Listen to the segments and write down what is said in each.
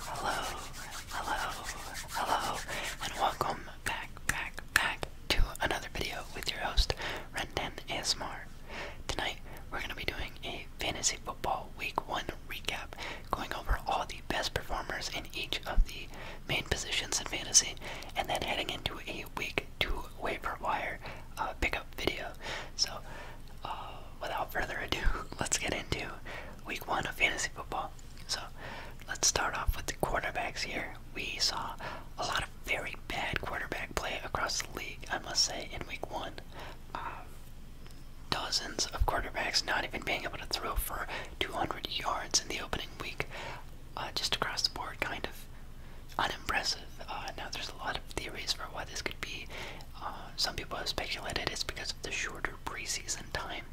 Hello, hello, hello, and welcome back, back, back to another video with your host, Rendan ASMR. Tonight, we're going to be doing a fantasy football week one recap, going over all the best performers in each of the main positions in fantasy, and then heading into a week two waiver wire uh, pickup video. So, uh, without further ado, let's get into week one of fantasy football. So let's start off with the quarterbacks here. We saw a lot of very bad quarterback play across the league, I must say, in week one. Uh, dozens of quarterbacks not even being able to throw for 200 yards in the opening week, uh, just across the board, kind of unimpressive. Uh, now, there's a lot of theories for why this could be, uh, some people have speculated it's because of the shorter preseason time.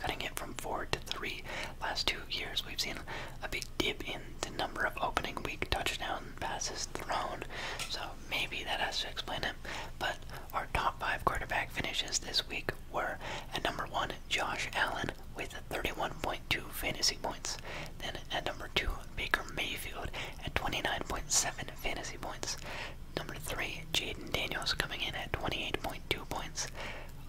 Cutting it from four to three. Last two years, we've seen a big dip in the number of opening week touchdown passes thrown. So maybe that has to explain it. But our top five quarterback finishes this week were at number one, Josh Allen with 31.2 fantasy points. Then at number two, Baker Mayfield at 29.7 fantasy points. Number three, Jaden Daniels coming in at 28.2 points.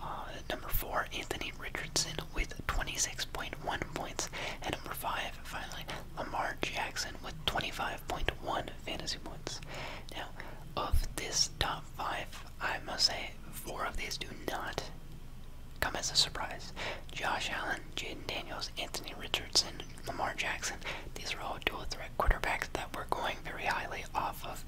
Uh, number four, Anthony Richardson with 26.1 points. And number five, finally, Lamar Jackson with 25.1 fantasy points. Now, of this top five, I must say four of these do not come as a surprise. Josh Allen, Jaden Daniels, Anthony Richardson, Lamar Jackson. These are all dual threat quarterbacks that were going very highly off of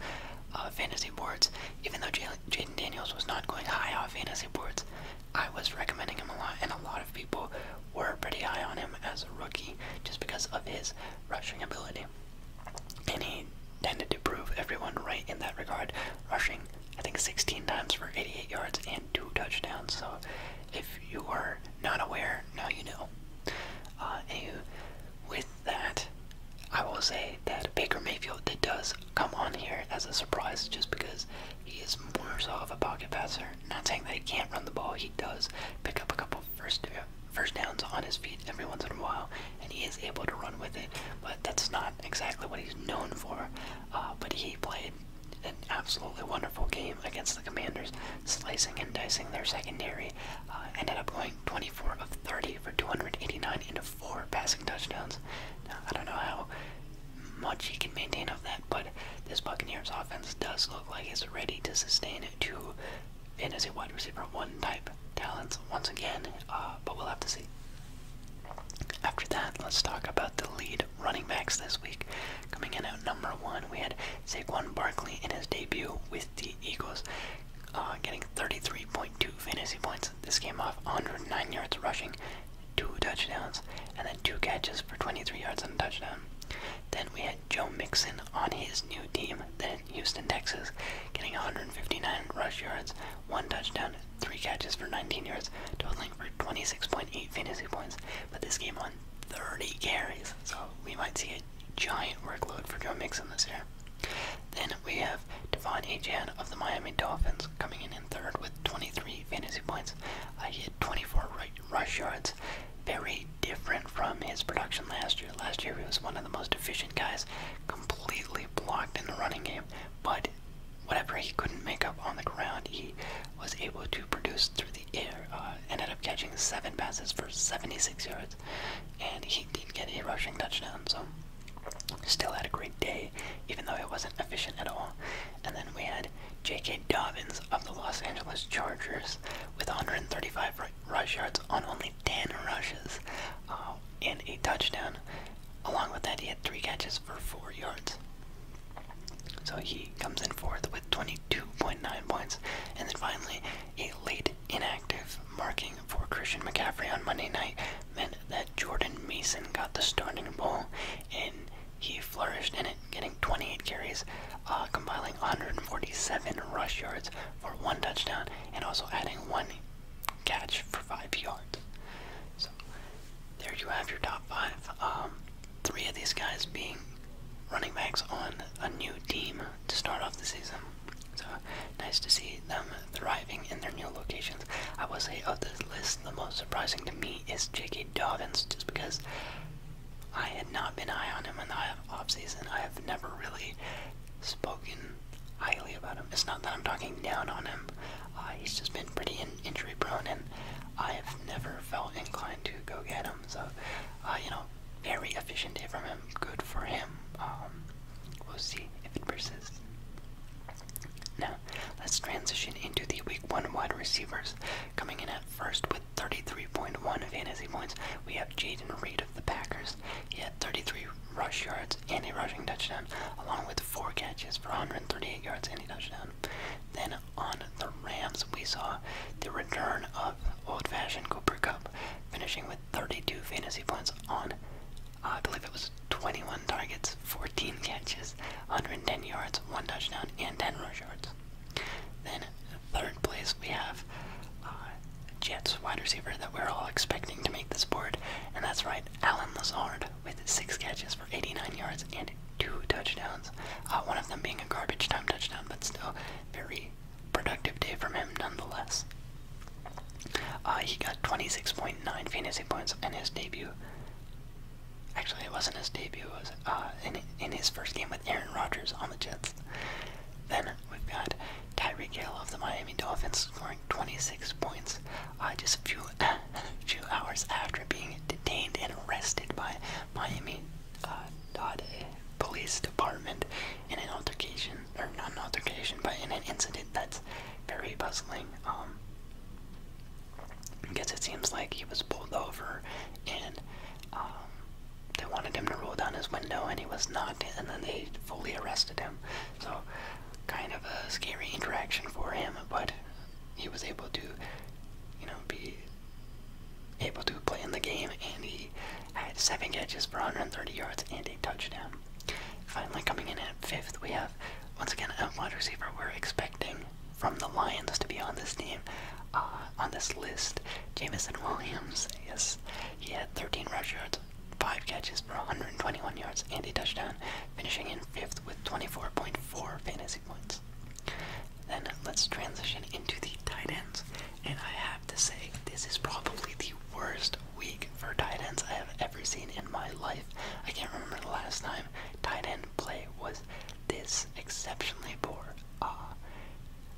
uh, fantasy boards. Even though Jaden Daniels was not going high off fantasy boards, I was recommending him a lot, and a lot of people were pretty high on him as a rookie just because of his rushing ability. And he tended to prove everyone right in that regard, rushing, I think, 16 times for 88 yards and two touchdowns. So if you are not aware, now you know. Uh, with that, I will say that Baker Mayfield does come on here as a surprise just because he is more so of a pocket passer. Not saying that he can't run the ball, he does pick up a couple first uh, first downs on his feet every once in a while, and he is able to run with it. But that's not exactly what he's known for. Uh, but he played an absolutely wonderful game against the Commanders, slicing and dicing their secondary. Uh, ended up going 24 of 30 for 289 into four passing touchdowns. Now, I don't know how much he can maintain of that, but this Buccaneers offense does look like it's ready to sustain it And as a wide receiver one type talents once again, uh, but we'll have to see. After that, let's talk about the lead running backs this week. Coming in at number one, we had Saquon Barkley in his debut with the Eagles, uh, getting 33.2 fantasy points. This came off 109 yards rushing, two touchdowns, and then two catches for 23 yards and a touchdown. Then we had Joe Mixon on his new team, then Houston, Texas, getting 159 rush yards, one touchdown, three catches for 19 yards, totaling for 26.8 fantasy points. But this game on 30 carries, so we might see giant workload for Joe Mixon this year. Then we have Devon Achan of the Miami Dolphins coming in in third with 23 fantasy points. I he 24 rush yards. Very different from his production last year. Last year he was one of the most efficient guys, completely blocked in the running game, but whatever he couldn't make up on the ground, he was able to produce through the the uh, ended up catching seven passes for 76 yards, and he did get a rushing touchdown. So still had a great day, even though it wasn't efficient at all. And then we had J.K. Dobbins of the Los Angeles Chargers with 135 rush yards on only 10 rushes uh, and a touchdown. Along with that, he had three catches for four yards. So he comes in fourth with 22.9 points. And then finally, a late inactive marking for Christian McCaffrey on Monday night meant that Jordan Mason got the starting ball and he flourished in it, getting 28 carries, uh, compiling 147 rush yards for one touchdown, and also adding one catch for five yards. So there you have your top five. Um, three of these guys being running backs on a new team to start off the season. So nice to see them thriving in their new locations. I would say of this list, the most surprising to me is J.K. Dobbins, just because I had not been eye on him in the season. I have never really spoken highly about him. It's not that I'm talking down on him. Uh, he's just been pretty injury prone, and I've never felt inclined to go get him. So, uh, you know, very efficient hit from him. Um, good for him. Um, we'll see if it persists. Now, let's transition into the week one wide receivers. Coming in at first with 33.1 fantasy points, we have Jaden Reed of the Packers. He had 33 rush yards and a rushing touchdown, along with four catches for 138 yards and a touchdown. Then on the Rams, we saw the return of old-fashioned Cooper Cup, finishing with 32 fantasy points on, I believe it was 21 targets, 14 catches, 110 yards, one touchdown, and 10 rush yards. Then third place we have uh, Jets wide receiver that we're all expecting to make the board, and that's right, Alan Lazard with six catches for 89 yards and two touchdowns. Uh, one of them being a garbage time touchdown, but still very productive day from him nonetheless. Uh, he got 26.9 fantasy points in his debut. Actually, it wasn't his debut. It was uh, in, in his first game with Aaron Rodgers on the Jets. Then we've got Tyreek Hill of the Miami Dolphins scoring 26 points uh, just a few, few hours after being detained and arrested by Miami uh, police department in an altercation, or not an altercation, but in an incident that's very puzzling. Um, because it seems like he was pulled over and um, they wanted him to roll down his window and he was not, and then they fully arrested him. So, kind of a scary interaction for him, but he was able to, you know, be able to play in the game, and he had seven catches for 130 yards and a touchdown. Finally, coming in at fifth, we have once again a wide receiver we're expecting from the Lions to be on this team, uh, on this list. Jamison Williams, yes, he had 13 rush yards, five catches for 121 yards and a touchdown, finishing in fifth with 24.4 fantasy points. Then let's transition into the tight ends. And I have to say, this is probably the worst week for tight ends I have ever seen in my life. I can't remember the last time tight end play was this exceptionally poor. Uh,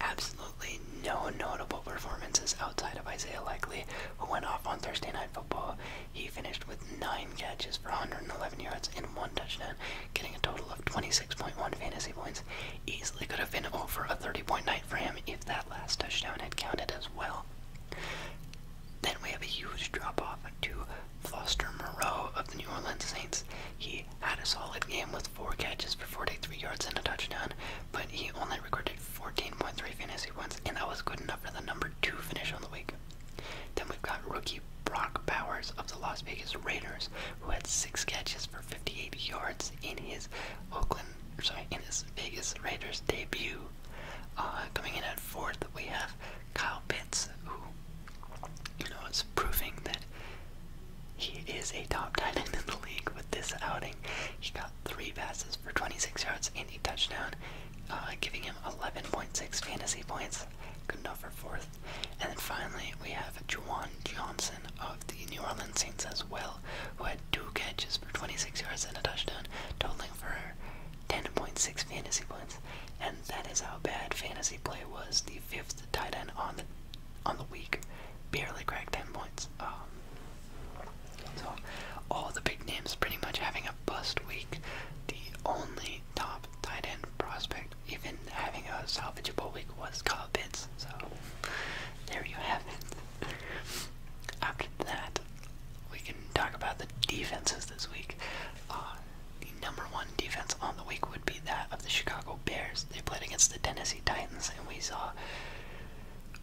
absolutely no notable performances outside of Isaiah Likely, who went off on Thursday Night Football. He finished with 9 catches for 111 yards and 1 touchdown, getting a total of 26.1 fantasy points. Easily could have been over a 30 point night for him if that last touchdown had counted as well. Then we have a huge drop off to Foster Moreau of the New Orleans Saints. He had a solid game with four catches for 43 yards and a touchdown, but he only recorded 14.3 fantasy points, and that was good enough for the number two finish on the week. Then we've got rookie Brock Bowers of the Las Vegas Raiders, who had six catches for 58 yards in his Oakland, sorry, in his Vegas Raiders debut. Uh, coming in at fourth, we have Kyle Pitts, who you know is proving that he is a top tight end in the league with this outing. He got three passes for 26 yards and a touchdown, uh, giving him 11.6 fantasy points. Good enough for fourth. And then finally, we have Juwan Johnson, of the New Orleans Saints as well, who had two catches for 26 yards and a touchdown, totaling for 10.6 fantasy points. And that is how bad fantasy play was. The fifth tight end on the on the week barely cracked 10 points. Um, so all the big names pretty much having a bust week. The only top tight end prospect even having a salvageable week was Kyle so there you have it. After that, we can talk about the defenses this week. Uh, the number one defense on the week would be that of the Chicago Bears. They played against the Tennessee Titans, and we saw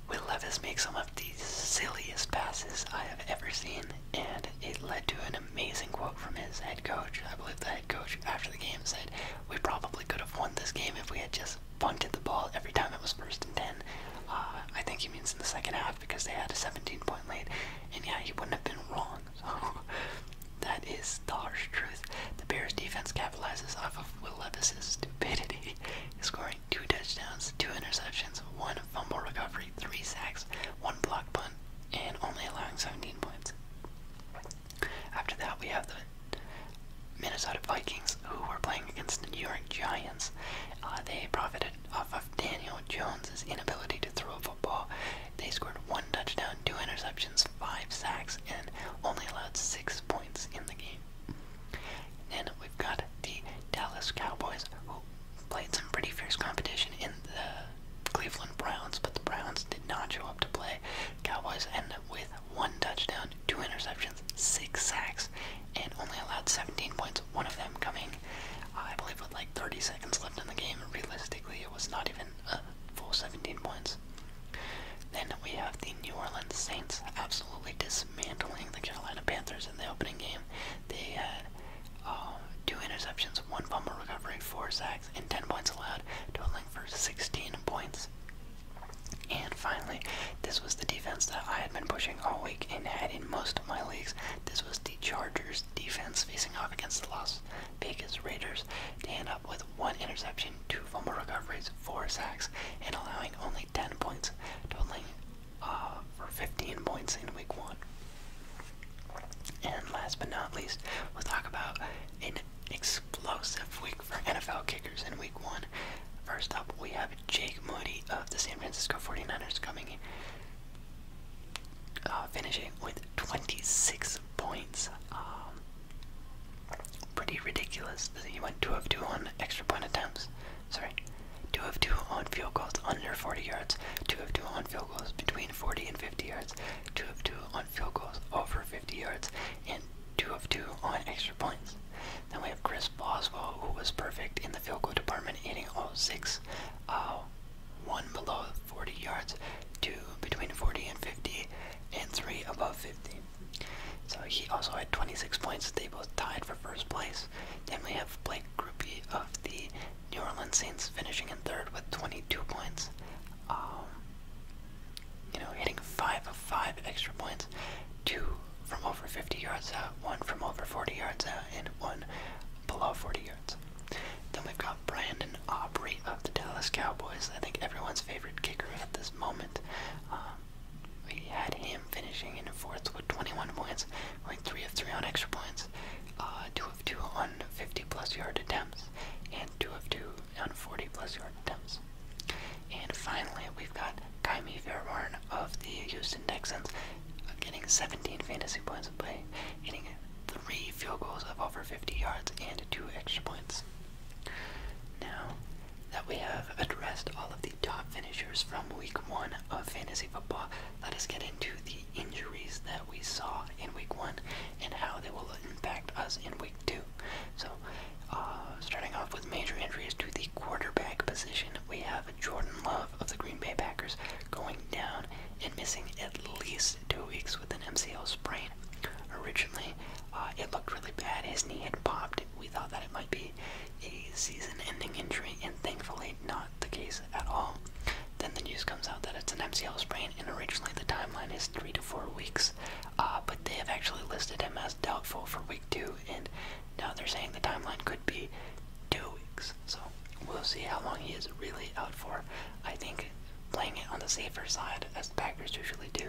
Will Levis make some of the silliest passes I have ever seen, and it led to an amazing quote from his head coach. I believe the head coach after the game said, We probably could have won this game if we had just Bucks bunted the ball every time it was first and ten. Uh, I think he means in the second half because they had a 17-point lead, and yeah, he wouldn't have been wrong. So that is the harsh truth. The Bears' defense capitalizes off of Will Levis's stupidity, scoring two touchdowns, two interceptions, one fumble recovery, three sacks, one block punt, and only allowing 17 points. After that, we have the Minnesota Vikings, who were playing against the New York Giants. Uh, they profited off of Daniel Jones's inability to throw a football. They scored one touchdown, two interceptions, five sacks, and only allowed six points in the game. Then we've got the Dallas Cowboys, who played some pretty fierce competition in the Cleveland Browns, but the Browns did not show up to play. Cowboys ended up with one touchdown, two interceptions, six sacks, and only allowed 17 points, one of them coming, I believe, with like 30 seconds left in the game. Realistically, it was not even a full 17 points. Then we have the New Orleans Saints absolutely dismantling the Carolina Panthers in the opening game. They had uh, two interceptions, one fumble recovery, four sacks, and 10 points allowed, totaling for 16 points. And finally, this was the defense that I had been pushing all week and had in most of my leagues. This was the Chargers defense facing off against the Las Vegas Raiders. They end up with one interception, two fumble recoveries, four sacks, and allowing only 10 points, totaling uh, for 15 points in week one. And last but not least, we'll talk about explosive week for NFL kickers in week one. First up, we have Jake Moody of the San Francisco 49ers coming uh, finishing with 26 points. Um, pretty ridiculous. He went 2 of 2 on extra point attempts. Sorry. 2 of 2 on field goals under 40 yards, 2 of 2 on field goals between 40 and 50 yards, 2 of 2 on field goals over 50 yards, and 2 of 2 on extra points. Then we have Chris Boswell, who was perfect in the field goal department, hitting all 6, uh, 1 below 40 yards, 2 between 40 and 50, and 3 above 50. So he also had 26 points. They both tied for first place. Then we have Blake Groupie of the New Orleans Saints finishing in third with 22 points. Um, you know, hitting five of five extra points, two from over 50 yards out, one from over 40 yards out, and one below 40 yards. Then we've got Brandon Aubrey of the Dallas Cowboys. I think everyone's favorite kicker at this moment. Um, we had him finishing in fourth with 21 points, going three of three on extra points, uh, two of two on 50 plus yard attempts, and two of two on 40 plus yard attempts. And finally, we've got Kaimi Fairbairn of the Houston Texans getting 17 fantasy points in play, hitting three field goals of over 50 yards and two extra points. Now that we have addressed all of the top finishers from week one of fantasy football, let us get into the injuries that we saw in week one and how they will impact us in week two. So uh, starting off with major injuries to the quarterback position, we have Jordan Love of the Green Bay Packers going down and missing at least two weeks with an MCL sprain. Originally, uh, it looked really bad. His knee had popped. We thought that it might be a season-ending injury, and thankfully, not the case at all. Then the news comes out that it's an MCL sprain, and originally the timeline is three to four weeks uh, but they have actually listed him as doubtful for week two, and now they're saying the timeline could be two weeks. So we'll see how long he is really out for. I think playing it on the safer side, as the Packers usually do,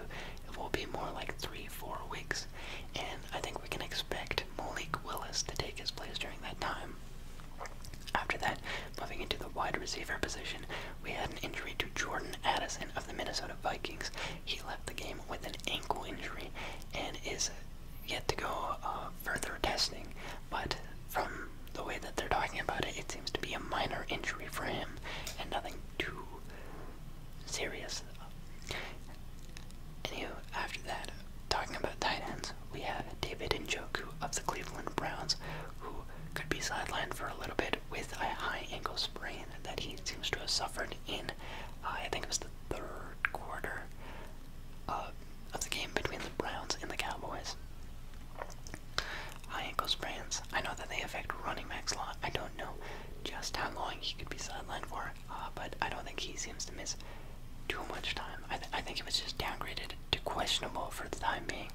it will be more like three, four weeks, and I think we can expect Malik Willis to take his place during that time. After that, moving into the wide receiver position, we had an injury to Jordan Addison of the Minnesota Vikings. He left the game with an ankle injury and is yet to go uh, further testing, but from the way that they're talking about it, it seems to be a minor injury for him and nothing too serious. Anywho, after that, talking about tight ends, we have David Njoku of the Cleveland Browns, who could be sidelined for a little bit with a high ankle sprain that he seems to have suffered in in, uh, I think it was the third quarter uh, of the game between the Browns and the Cowboys. High ankle sprains. I know that they affect running backs a lot. I don't know just how long he could be sidelined for, uh, but I don't think he seems to miss too much time. I, th I think it was just downgraded to questionable for the time being.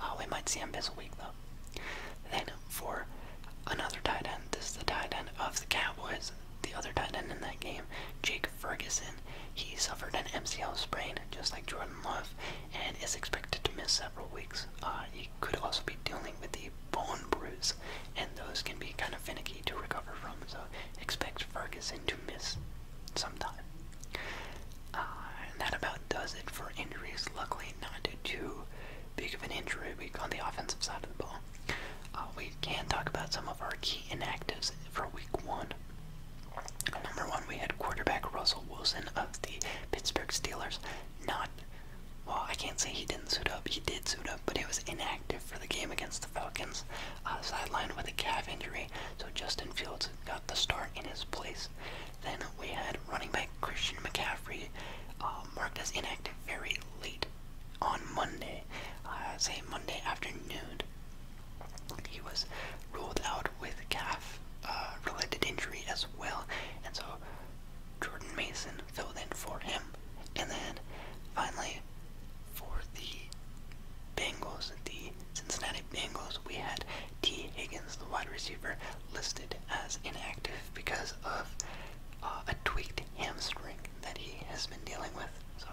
Uh, we might see him miss a week though. Then for another tight end. This is the tight end of the Cowboys. The other tight end in that game, Jake Ferguson, he suffered an MCL sprain just like Jordan Love and is expected to miss several weeks. Uh, he could also be dealing with the bone bruise, and those can be kind of finicky to recover from, so expect Ferguson to miss sometime. Uh, that about does it for injuries. Luckily, not too big of an injury week on the offensive side of the ball. Uh, we can talk about some of our key inactives for week one. Number one, we had quarterback Russell Wilson of the Pittsburgh Steelers. Not, well, I can't say he didn't suit up. He did suit up, but he was inactive for the game against the Falcons, uh, sidelined with a calf injury. So Justin Fields got the start in his place. Then we had running back Christian McCaffrey uh, marked as inactive very late on Monday, uh, say Monday afternoon, he was ruled out with calf uh, related injury as well, and so Jordan Mason filled in for him. And then finally, for the Bengals, the Cincinnati Bengals, we had T. Higgins, the wide receiver, listed as inactive because of uh, a tweaked hamstring that he has been dealing with. So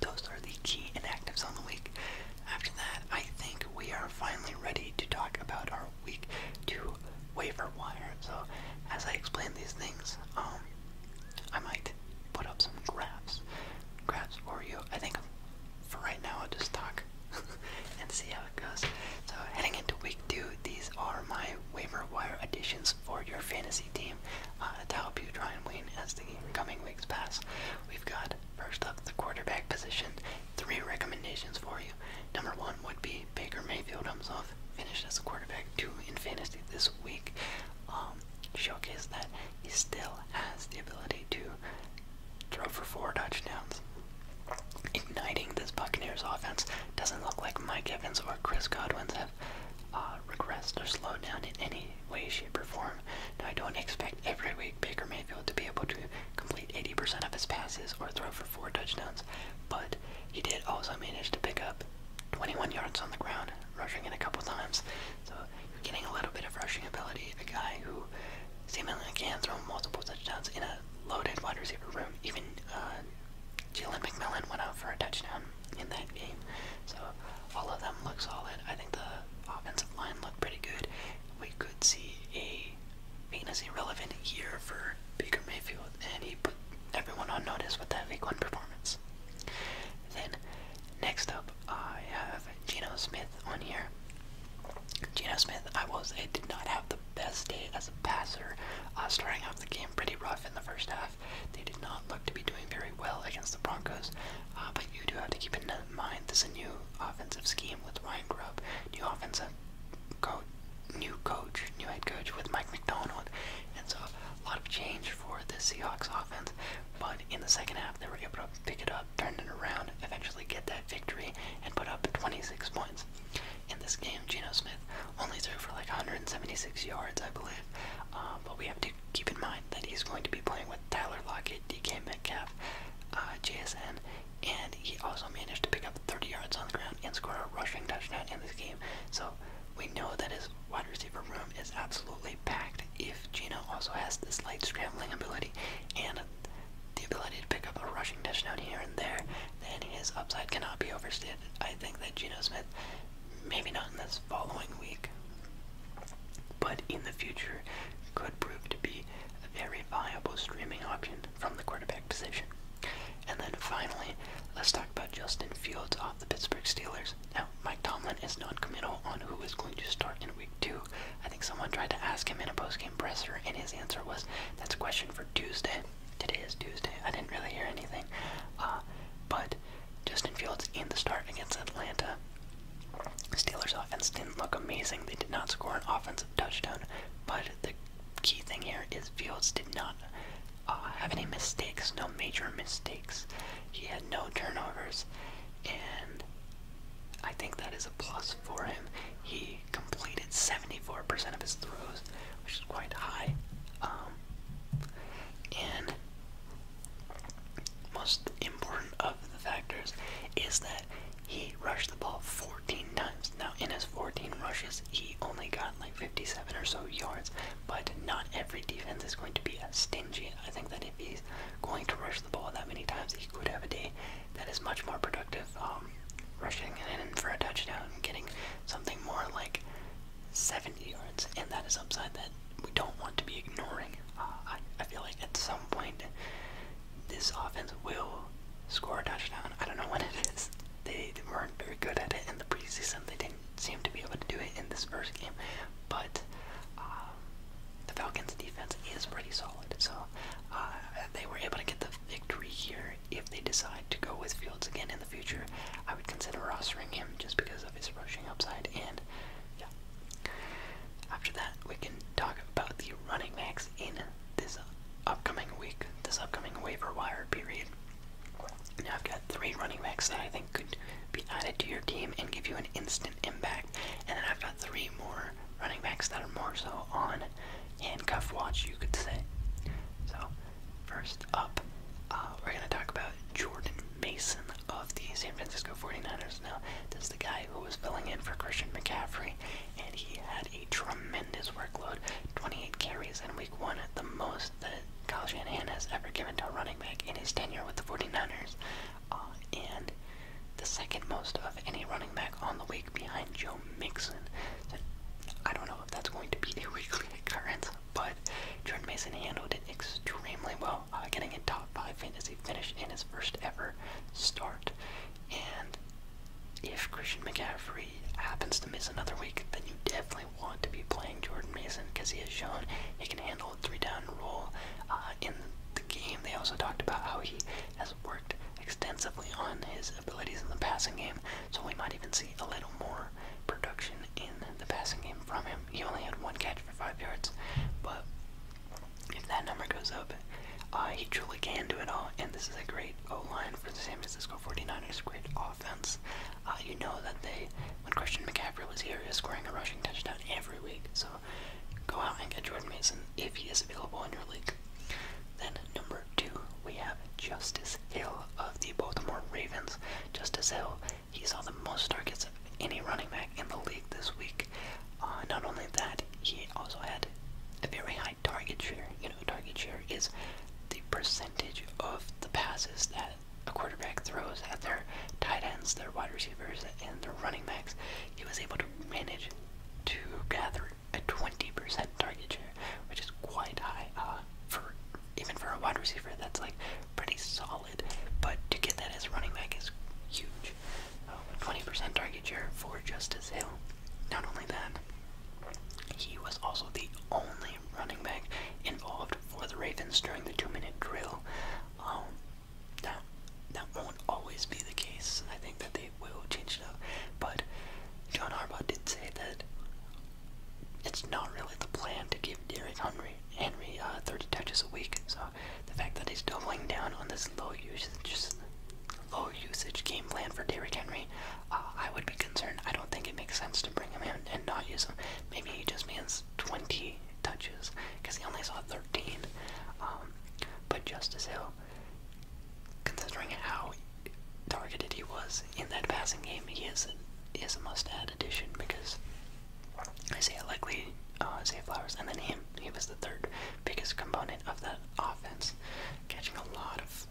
those are the key inactives on the week. After that, I think we are finally ready to talk about our week two waiver wire. So as I explain these things, um, I might put up some graphs, graphs for you. I think for right now, I'll just talk and see how so heading into week two, these are my waiver wire additions for your fantasy team uh, to help you try and win as the coming weeks pass. We've got first up the quarterback position. Three recommendations for you. Number one would be Baker Mayfield himself finished as a quarterback two in fantasy this week. Um, showcase that he still has the ability to throw for four touchdowns igniting this Buccaneers offense. Doesn't look like Mike Evans or Chris Godwin's have uh, regressed or slowed down in any way, shape, or form. Now, I don't expect every week Baker Mayfield to be able to complete 80% of his passes or throw for four touchdowns, but he did also manage to pick up 21 yards on the ground, rushing in a couple times. So you're getting a little bit of rushing ability. A guy who seemingly can throw multiple touchdowns in a loaded wide receiver room, even uh, Jalen McMillan went out for a touchdown in that game. So all of them look solid. I think the offensive line looked pretty good. We could see a fantasy relevant year for Baker Mayfield, and he put everyone on notice with that week one performance. Then next up, I have Geno Smith on here. Geno Smith, I was it did not have the the best day as a passer, uh, starting off the game pretty rough in the first half. They did not look to be doing very well against the Broncos, uh, but you do have to keep in mind this is a new offensive scheme with Ryan Grubb, new offensive coach, new coach, new head coach with Mike McDonald, and so a lot of change for the Seahawks offense. But in the second half, they were able to pick it up, turn it around, eventually get that victory, and put up 26 points in this game. Geno Smith only threw for like 176 yards, I believe. Um, but we have to keep in mind that he's going to be playing with Tyler Lockett, DK Metcalf, uh, JSN, and he also managed to pick up 30 yards on the ground and score a rushing touchdown in this game. So we know that his wide receiver room is absolutely packed if Geno also has this light scrambling ability and the ability to pick up a rushing touchdown here and there, then his upside cannot be overstated. I think that Geno Smith, maybe not in this following week, but in the future, could prove to be a very viable streaming option from the quarterback position. And then finally, let's talk about Justin Fields off the Pittsburgh Steelers. Now, Mike Tomlin is non-committal on who is going to start in week two. I think someone tried to ask him in a post-game presser, and his answer was, that's a question for Tuesday. Today is Tuesday. I didn't really hear anything. Uh, but Justin Fields in the start against Atlanta. Steelers offense didn't look amazing. They did not score an offensive touchdown. But the key thing here is Fields did not uh, have any mistakes, no major mistakes. He had no turnovers. And I think that is a plus for him. He completed 74% of his throws, which is quite high. Um, and most important of the factors is that he rushed the ball 14 times. Now, in his 14 rushes, he only got like 57 or so yards, but not every defense is going to be as stingy. I think that if he's going to rush the ball that many times, he could have a day that is much more productive, um, rushing in for a touchdown and getting something more like 70 yards, and that is upside that we don't want to be ignoring. Uh, I, I feel like at some point this offense will score a touchdown. I don't know when it is. They, weren't very good at it in the preseason. They didn't seem to be able to do it in this first game, but um, the Falcons' defense is pretty solid, so uh, they were able to get the victory here. If they decide to go with Fields again in the future, I would consider rostering him just because of his rushing upside. And yeah, after that, we can talk about the running backs in this upcoming week, this upcoming waiver wire period. Now I've got three running backs that I think could be added to your team and give you an instant impact, and then I've got three more running backs that are more so on handcuff watch, you could say. So First up, uh, we're going to talk about Jordan Mason of the San Francisco 49ers. Now, this is the guy who was filling in for Christian McCaffrey, and he had a tremendous workload 28 carries in week one, the most that Kyle Shanahan has ever given to a running back in his tenure with the 49ers, uh, and the second most of any running back on the week behind Joe Mixon. I don't know that's going to be a weekly occurrence, but Jordan Mason handled it extremely well, uh, getting a top five fantasy finish in his first ever start. And if Christian McCaffrey happens to miss another week, then you definitely want to be playing Jordan Mason because he has shown he can handle a three-down role uh, in the game. They also talked about how he has worked extensively on his abilities in the passing game, so we might even see a little more production in the passing game from him. He only had one catch for five yards, but if that number goes up, uh, he truly can do it all. And this is a great O line for the San Francisco 49ers, great offense. Uh, you know that they, when Christian McCaffrey was here, he was scoring a rushing touchdown every week. So go out and get Jordan Mason if he is available in your league. Then, number two, we have Justice Chase Hill of the Baltimore Ravens. Just as Hill, he saw the most targets of any running back in the league this week. Uh, not only that, he also had a very high target share. You know, target share is the percentage of the passes that a quarterback throws at their tight ends, their wide receivers, and their running backs. He was able to manage to gather a 20% target share which is quite high uh, for even for a wide receiver. That's like pretty solid, but to get that as running back is huge. 20% uh, target share for Justice Hill. Not only that, he was also the only running back involved for the Ravens during the two-minute drill. now, um, that won't always be the case. I think that they will change it up. But John Harbaugh did say that it's not really the plan to give Derrick Henry Henry uh, 30 touches a week. So the fact that he's doubling down on this low usage, low usage game plan for Derrick Henry, uh, I would be concerned. I don't think it makes sense to bring him in and not use him. Maybe he just means 20 touches because he only saw 13. Um, but Justice Hill, considering how targeted he was in that passing game. He is a, is a must-add addition because Isaiah Likely, uh, Isaiah Flowers, and then him. He was the third biggest component of that offense, catching a lot of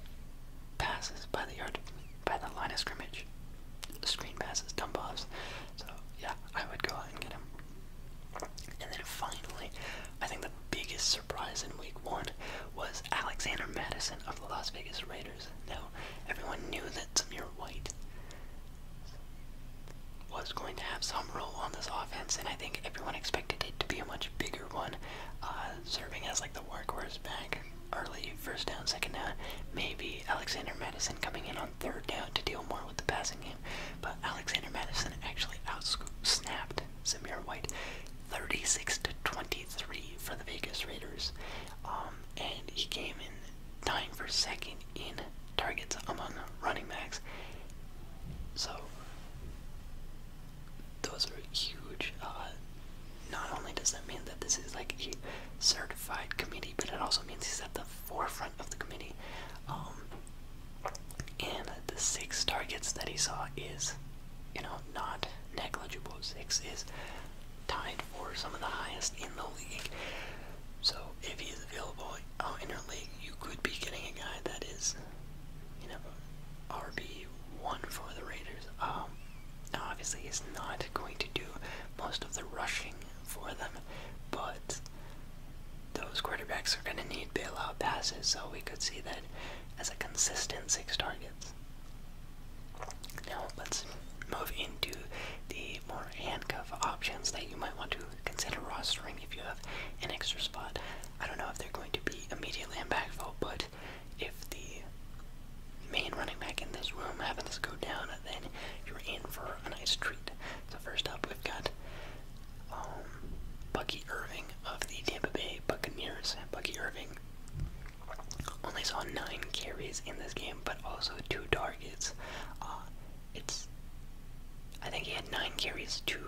passes by the yard, by the line of scrimmage, screen passes, dump offs. So yeah, I would go out and get him. And then finally, I think the biggest surprise in Week One was Alexander Madison of the Las Vegas Raiders. Raiders. everyone knew that Samir White was going to have some role on this offense, and I think everyone expected it to be a much bigger one, uh, serving as like the workhorse back early, first down, second down. Maybe Alexander Madison coming in on third down to deal more with the passing game, but Alexander Madison actually outsnapped Samir White 36 to 23 for the Vegas Raiders. Um, and he came in tying for second in targets among running backs. So those are huge. Uh, not only does that mean that this is like a certified committee, but it also means he's at the forefront of the committee. Um, and the six targets that he saw is, you know, not negligible. Six is tied for some of the highest in the league. So if he's available in your league, you could be getting a guy that is, you know, RB one for the Raiders. Um, now obviously he's not going to do most of the rushing for them, but those quarterbacks are going to need bailout passes, so we could see that as a consistent six targets. Now let's move into the more handcuff options that you might want to consider rostering if you have an extra spot. I don't know if they're going to be immediately impactful, but if the main running back in this room happens to go down, then you're in for a nice treat. So first up, we've got um, Bucky Irving of the Tampa Bay Buccaneers. Bucky Irving only saw nine carries in this game, but also two targets. Uh, it's I think he had nine carries to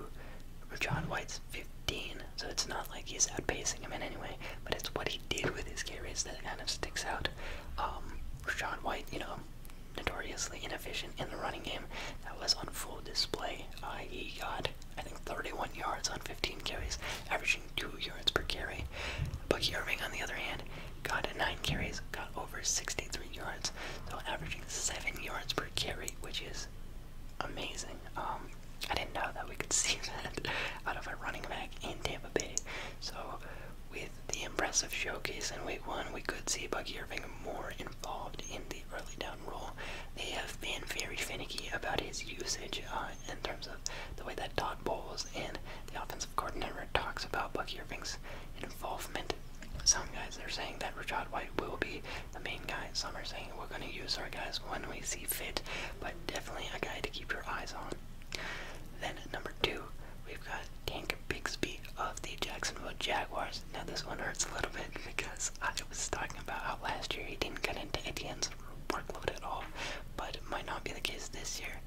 John White's 15, so it's not like he's outpacing him in anyway. but it's what he did with his carries that kind of sticks out. Um, John White, you know, notoriously inefficient in the running game, that was on full display. Uh, got, I think, 31 yards on 15 carries, averaging two yards per carry. Bucky Irving, on the other hand, got nine carries, got over 63 yards, so averaging seven yards per carry, which is amazing. Um, I didn't know that we could see that out of a running back in Tampa Bay. So, with the impressive showcase in Week One, we could see Bucky Irving more involved in the early down role. They have been very finicky about his usage. Um, uh, in terms of the way that Todd Bowles and the offensive coordinator talks about Bucky Irving's involvement. Some guys are saying that Rashad White will be the main guy. Some are saying we're going to use our guys when we see fit, but definitely a guy to keep your eyes on. Then at number two, we've got Tank Bigsby of the Jacksonville Jaguars. Now this one hurts a little bit because I was talking about how last year he didn't get into Etienne workload at all, but might not be the case this year.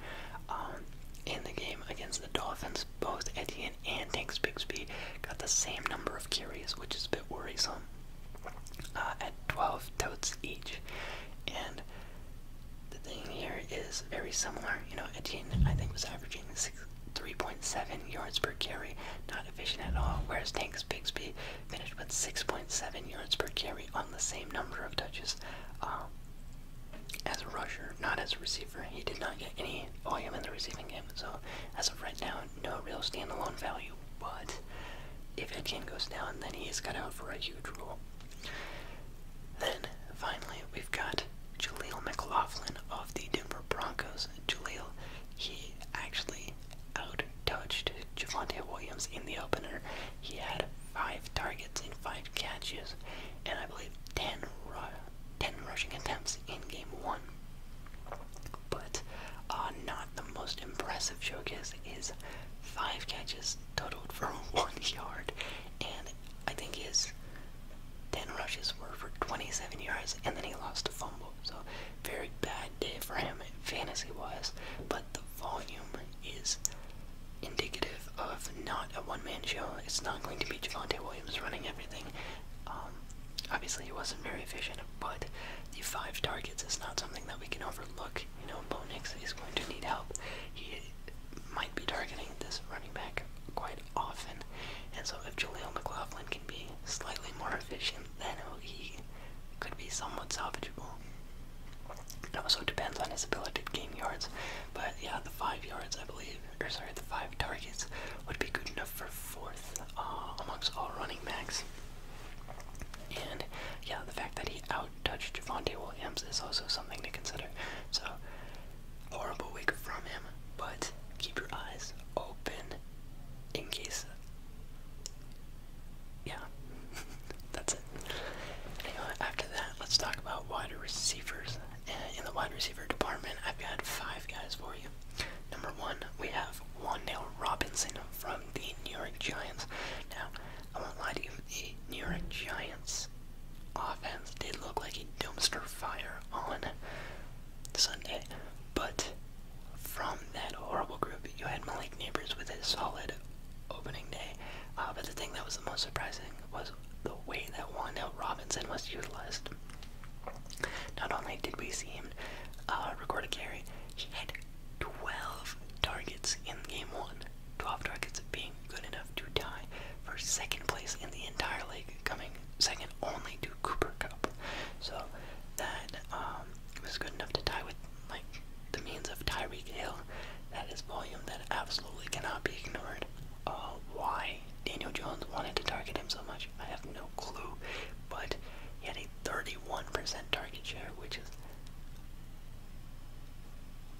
Um, in the game against the Dolphins, both Etienne and Tanks Bixby got the same number of carries, which is a bit worrisome, uh, at 12 totes each. And the thing here is very similar. You know, Etienne, I think, was averaging 3.7 yards per carry, not efficient at all, whereas Tanks Bixby finished with 6.7 yards per carry on the same number of touches. Um, as a rusher, not as a receiver. He did not get any volume in the receiving game, so as of right now, no real standalone value. But if Etienne goes down, then he is cut out for a huge role. Then finally, we've got Jaleel McLaughlin of the Denver Broncos. Jaleel, he actually out touched Javante Williams in the opener. He had five targets and five catches, and I believe 10, rushing attempts in game one. But uh, not the most impressive showcase is five catches totaled for one yard, and I think his 10 rushes were for 27 yards, and then he lost a fumble. So, very bad day for him fantasy wise, but the volume is indicative of not a one-man show. It's not going to be Javante Williams running everything. Um, obviously, he wasn't very efficient, but the five targets is not something that we can overlook. You know, Bo Nix is going to need help. He might be targeting this running back quite often, and so if Jaleel McLaughlin can be slightly more efficient, then he could be somewhat salvageable. It also depends on his ability to gain yards, but yeah, the five yards I believe, or sorry, the five targets would be good enough for fourth uh, amongst all running backs. And yeah, the fact that he outtouched touched Javante Williams is also something to consider. So horrible week from him, but keep your eyes open in case. Yeah, that's after that, let's talk about wide receivers. in the wide receiver department, I've got five guys for you. Number one, we have Wandale Robinson from the New York Giants. Now, I won't lie to you, the New York Giants offense did look like a dumpster fire on Sunday, but from that horrible group, you had Malik Neighbors with a solid opening day. Uh, but the thing that was the most surprising was the way that Wandale Robinson was utilized. Not only did we see him uh, record a carry, he had 12 targets in game one. 12 targets being good enough to tie for second place in the entire league, coming second only to Cooper Cup. So that um, was good enough to tie with like the means of Tyreek Hill. That is volume that absolutely cannot be ignored. Uh, why Daniel Jones wanted to target him so much, I have no clue. But he had a 31% target share, which is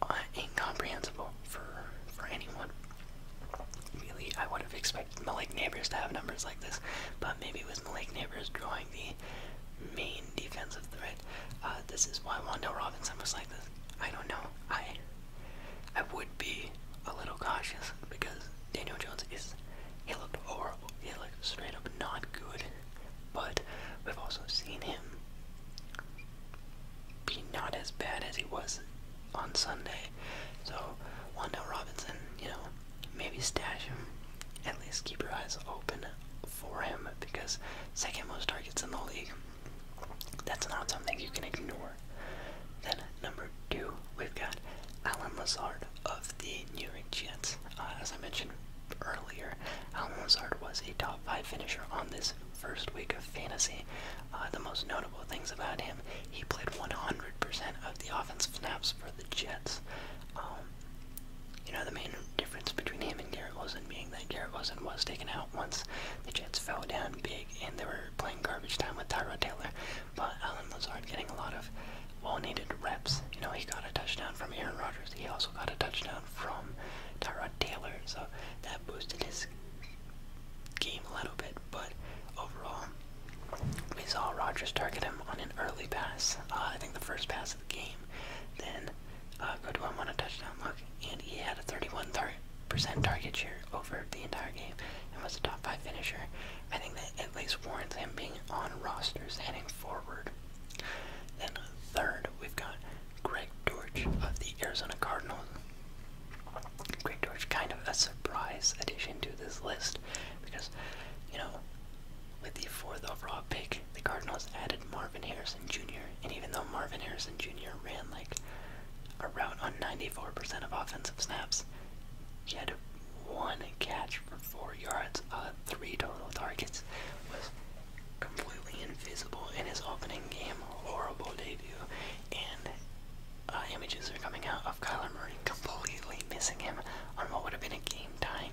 uh, incomprehensible for for anyone. Really, I would have expected Malik Neighbors to have numbers like this, but maybe it was Malik Neighbors drawing the main defensive threat uh, this is why Wando Robinson was like this. I don't know. I I would be a little cautious because Daniel Jones is he looked horrible. He looked straight up not good. But we've also seen him be not as bad as he was on Sunday. So Wanda Robinson, you know, maybe stash him. At least keep your eyes open for him because second most targets in the league. That's not something you can ignore. Then number two, we've got Alan Lazard of the New York Jets. Uh, as I mentioned earlier, Alan Lazard was a top five finisher on this first week of fantasy. Uh, the most notable things about him, he played 100% of the offensive snaps for the Jets. Um, you know, the main difference between him Garrett wasn't being that Garrett wasn't was taken out once the Jets fell down big and they were playing garbage time with Tyrod Taylor. But Alan Lazard getting a lot of well-needed reps. You know, he got a touchdown from Aaron Rodgers. He also got a touchdown from Tyrod Taylor, so that boosted his game a little bit. But overall, we saw Rodgers target him on an early pass. Uh, I think the first pass of the game. Then go to one, on a touchdown look, and he had a 31% target share over the entire game and was a top 5 finisher. I think that at least warrants him being on rosters heading forward. Then third, we've got Greg Dortch of the Arizona Cardinals. Greg Dortch, kind of a surprise addition to this list because, you know, with the fourth overall pick, the Cardinals added Marvin Harrison Jr. And even though Marvin Harrison Jr. ran like a route on 94% of offensive snaps, he had one catch for four yards, uh, three total targets. Was completely invisible in his opening game. Horrible debut. And uh, images are coming out of Kyler Murray completely missing him on what would have been a game tying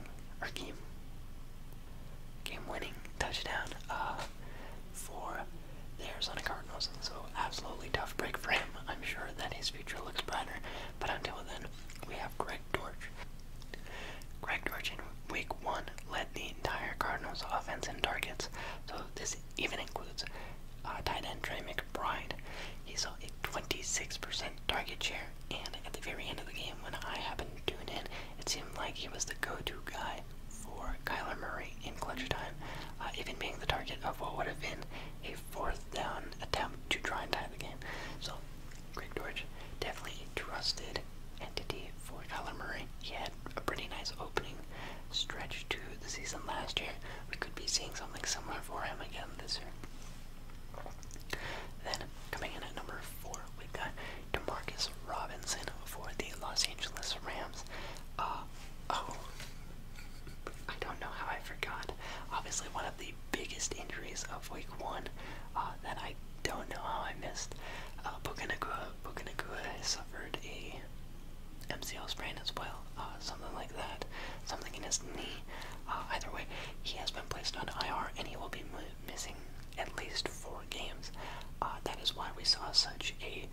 game-winning touchdown uh, for the Arizona Cardinals. So absolutely tough break for him. I'm sure that his future looks brighter. But until then, we have Greg Dortch. Greg Dortch in Week One led the entire Cardinals offense in targets. So this even includes uh, tight end Trey McBride. He saw a 26% target share, and at the very end of the game, when I happened to tune in, it seemed like he was the go-to guy for Kyler Murray in clutch time, uh, even being the target of what would have been a fourth down attempt to try and tie the game. So, Greg Dortch, definitely trusted entity for Kyler Murray. He had a pretty nice opening stretch to the season last year. We could be seeing something similar for him again this year. Then, coming in at number four, we've got Demarcus Robinson for the Los Angeles Rams. Uh, oh, I don't know how I forgot. Obviously, one of the biggest injuries of Week One uh, that I don't know how I missed. Uh, Bukanagua, Bukanagua suffered a MCL sprain as well, uh, something like that, something in his knee. Uh, either way, he has been placed on IR, and he will be missing at least four games. Uh, that is why we saw such a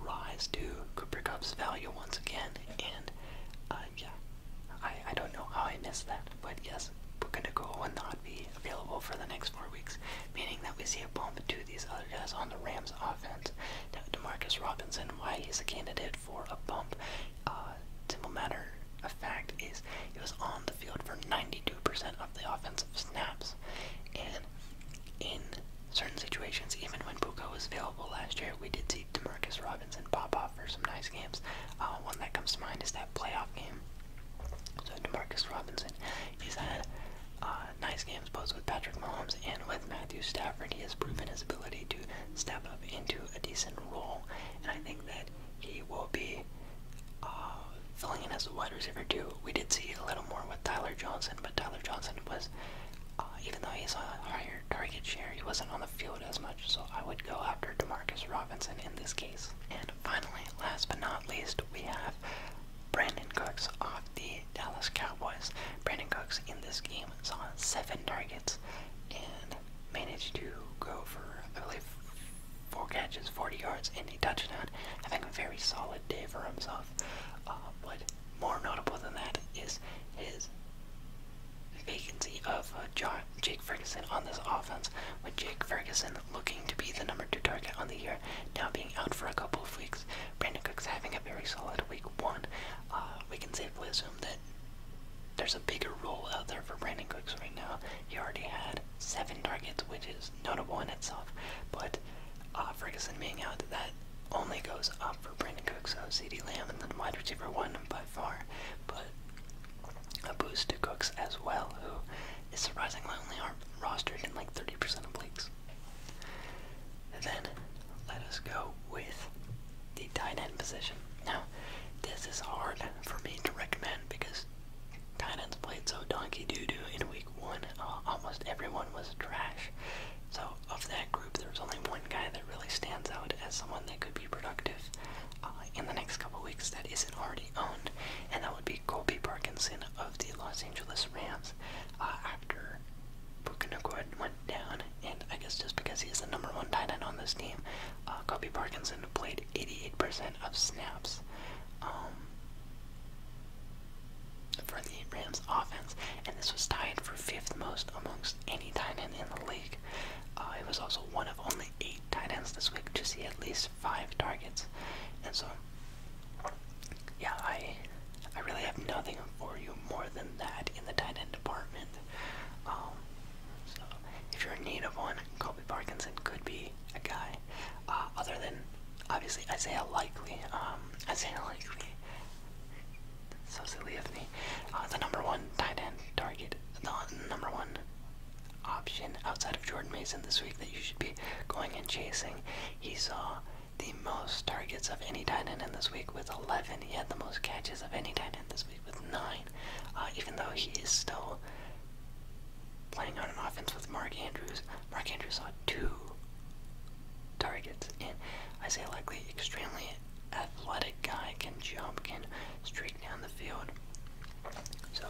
rise to Cooper Cup's value once again. And uh, yeah, I, I don't know how I missed that, but yes, Puka Nakua will not be available for the next four weeks, meaning that we see a bump to these other guys on the Rams offense. Now, Demarcus Robinson, why he's a candidate for a bump, uh, simple matter of fact is he was on the field for 92% of the offensive snaps. And in certain situations, even when Puka was available last year, we did see Demarcus Robinson pop off for some nice games. Uh, one that comes to mind is that playoff game. So Demarcus Robinson, he's had uh, nice games both with Patrick Mahomes and with Matthew Stafford. He has proven his ability to step up into a decent role, and I think that he will be uh, filling in as a wide receiver too. We did see a little more with Tyler Johnson, but Tyler Johnson was, uh, even though he's a higher target share, he wasn't on the field as much. So I would go after Demarcus Robinson in this case. And finally, last but not least, we have Brandon Cooks off the Dallas Cowboys. Brandon Cooks in this game saw seven targets and managed to go for, I believe, four catches, 40 yards, and a touchdown. Having a very solid day for himself. Um, but more notable than that is his vacancy of uh, Jake Ferguson on this offense, with Jake Ferguson looking to be the number two target on the year, now being out for a couple of weeks. Brandon Cook's having a very solid week one. Uh, we can safely assume that there's a bigger role out there for Brandon Cooks right now. He already had seven targets, which is notable in itself, but that uh, Ferguson being out, that only goes up for Brandon Cooks so CD Lamb and the wide receiver one by far, but a boost to Cooks as well, who is surprisingly only rostered in like 30% of leagues. Then let us go with the tight end position. Now, this is hard for me to recommend because tight ends played so donkey doo doo and we one, uh, almost everyone was trash. So of that group, there's only one guy that really stands out as someone that could be productive uh, in the next couple weeks that isn't already owned, and that would be Colby Parkinson of the Los Angeles Rams. Uh, after Puka Naccord went down, and I guess just because he's the number one tight end on this team, uh, Parkinson played 88% of snaps. Um, for the Rams offense, and this was tied for fifth most amongst any tight end in the league. Uh, it was also one of only eight tight ends this week to see at least five targets, and so yeah, I I really have nothing for you more than that in the tight end department. Um, so if you're in need of one, Colby Parkinson could be a guy. Uh, other than obviously Isaiah Likely. Um, Isaiah Likely, so silly of me. Uh, the number one tight end target, the number one option outside of Jordan Mason this week that you should be going and chasing. He saw the most targets of any tight end in this week with 11. He had the most catches of any tight end this week with 9. Uh, even though he is still playing on an offense with Mark Andrews, Mark Andrews saw two targets. And I say likely, extremely athletic guy can jump, can streak down the field. So,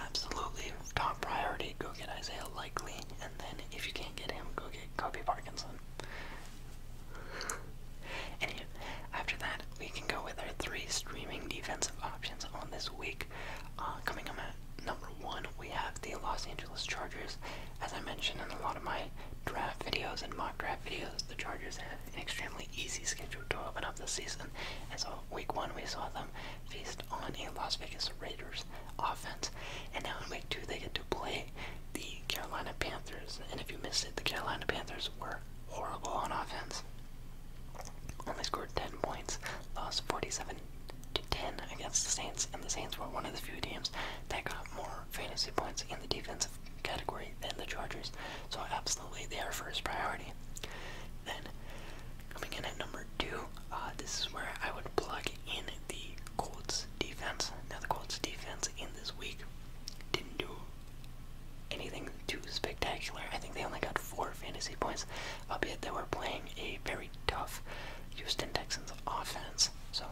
absolutely top priority, go get Isaiah Likely, and then if you can't get him, go get Kobe Parkinson. Anyway, after that, we can go with our three streaming defensive options on this week. Uh, coming up at number one, we have the Los Angeles Chargers as I mentioned in a lot of my draft videos and mock draft videos, the Chargers have an extremely easy schedule to open up the season. As so week one, we saw them feast on a Las Vegas Raiders offense, and now in week two, they get to play the Carolina Panthers. And if you missed it, the Carolina Panthers were horrible on offense. Only scored 10 points, lost 47 to 10 against the Saints, and the Saints were one of the few teams that got more fantasy points in the defensive category than the Chargers. So absolutely, they are first priority. Then, coming in at number two, uh, this is where I would plug in the Colts defense. Now, the Colts defense in this week didn't do anything too spectacular. I think they only got four fantasy points, albeit they were playing a very very tough Houston Texans offense. So,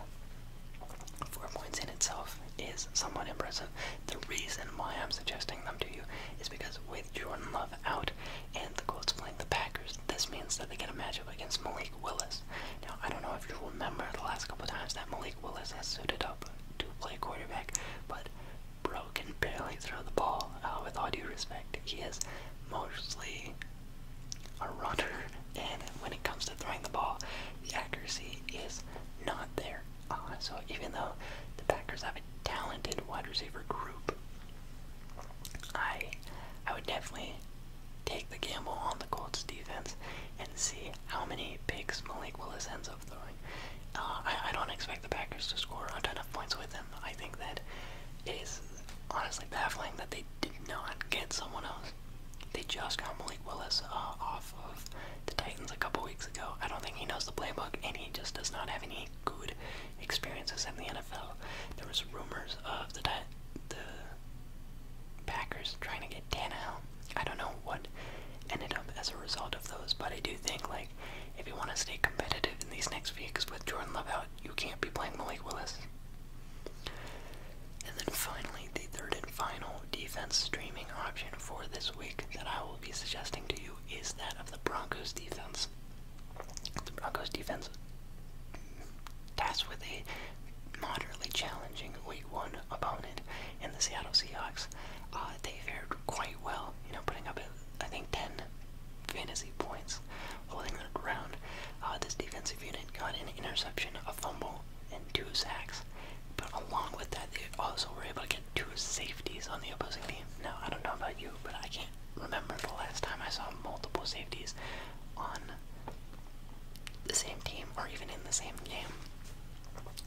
four points in itself is somewhat impressive. The reason why I'm suggesting them to you is because with Jordan Love out and the Colts playing the Packers, this means that they get a matchup against Malik Willis. Now, I don't know if you remember the last couple times that Malik Willis has suited up to play quarterback, but Bro can barely throw the ball. Uh, with all due respect, he is mostly a runner, and when it comes to throwing the ball, the accuracy is not there. Uh, so even though the Packers have a talented wide receiver group, I I would definitely take the gamble on the Colts defense and see how many picks Malik Willis ends up throwing. Uh, I, I don't expect the Packers to score a ton of points with him. I think that it is honestly baffling that they did not get someone else. They just got Malik Willis uh, off of the Titans a couple weeks ago. I don't think he knows the playbook, and he just does not have any good experiences in the NFL. There was rumors of the the Packers trying to get Tannehill. I don't know what ended up as a result of those, but I do think like if you want to stay competitive in these next weeks with Jordan Love you can't be playing Malik Willis. And then finally, the third and final defense streaming option for this week that I will be suggesting to you is that of the Broncos defense. The Broncos defense, tasked with a moderately challenging week one opponent in the Seattle Seahawks, uh, they fared quite well, you know, putting up, I think, 10 fantasy points holding their ground. Uh, this defensive unit got an interception, a fumble, and two sacks. But along with that, they also were able to get two safeties on the opposing team. Now, I don't know about you, but I can't remember the last time I saw multiple safeties on the same team or even in the same game.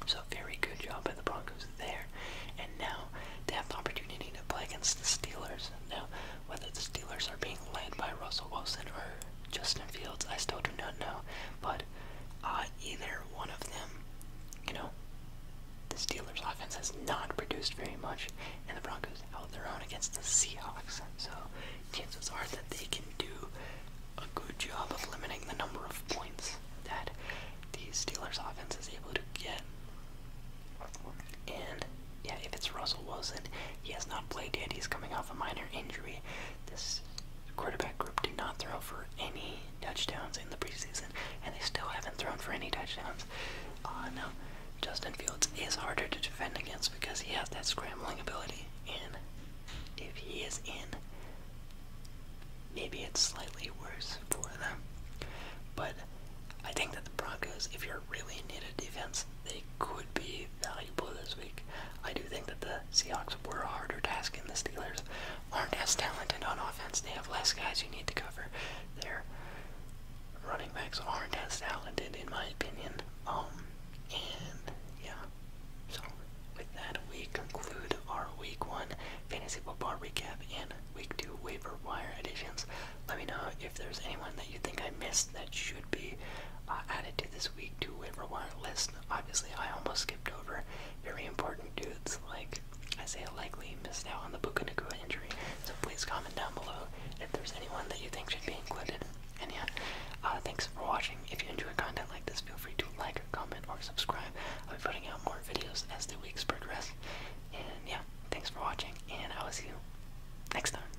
So, very good job by the Broncos there. And now they have the opportunity to play against the Steelers. Now, whether the Steelers are being led by Russell Wilson or Justin Fields, I still do not know. But uh, either one of them, you know, the Steelers' offense has not produced very much, and the Broncos held their own against the Seahawks. So chances are that they can do a good job of limiting the number of points that the Steelers' offense is able to get. And yeah, if it's Russell Wilson, he has not played yet. He's coming off a minor injury. This quarterback group did not throw for any touchdowns in the preseason, and they still haven't thrown for any touchdowns. Uh, no, Justin Fields is harder to defend against because he has that scrambling ability, and if he is in, maybe it's slightly worse for them. But I think that the Broncos, if you're really in need of defense, they could be valuable this week. I do think that the Seahawks were a harder task, and the Steelers aren't as talented on offense. They have less guys you need to cover. Their running backs aren't as talented, in my opinion. Um, and yeah. So with that, we conclude our Week One fantasy football recap and Week Two waiver wire additions. Let me know if there's anyone that you think I missed that should be added to this week to waiver wire list. Obviously, I almost skipped over very important dudes like Isaiah Likely missed out on the book Bukunakua injury. So please comment down below if there's anyone that you think should be included. And yeah, uh, thanks for watching. If you enjoy content like this, feel free to like, comment, or subscribe. I'll be putting out more videos as the weeks progress. And yeah, thanks for watching, and I will see you next time.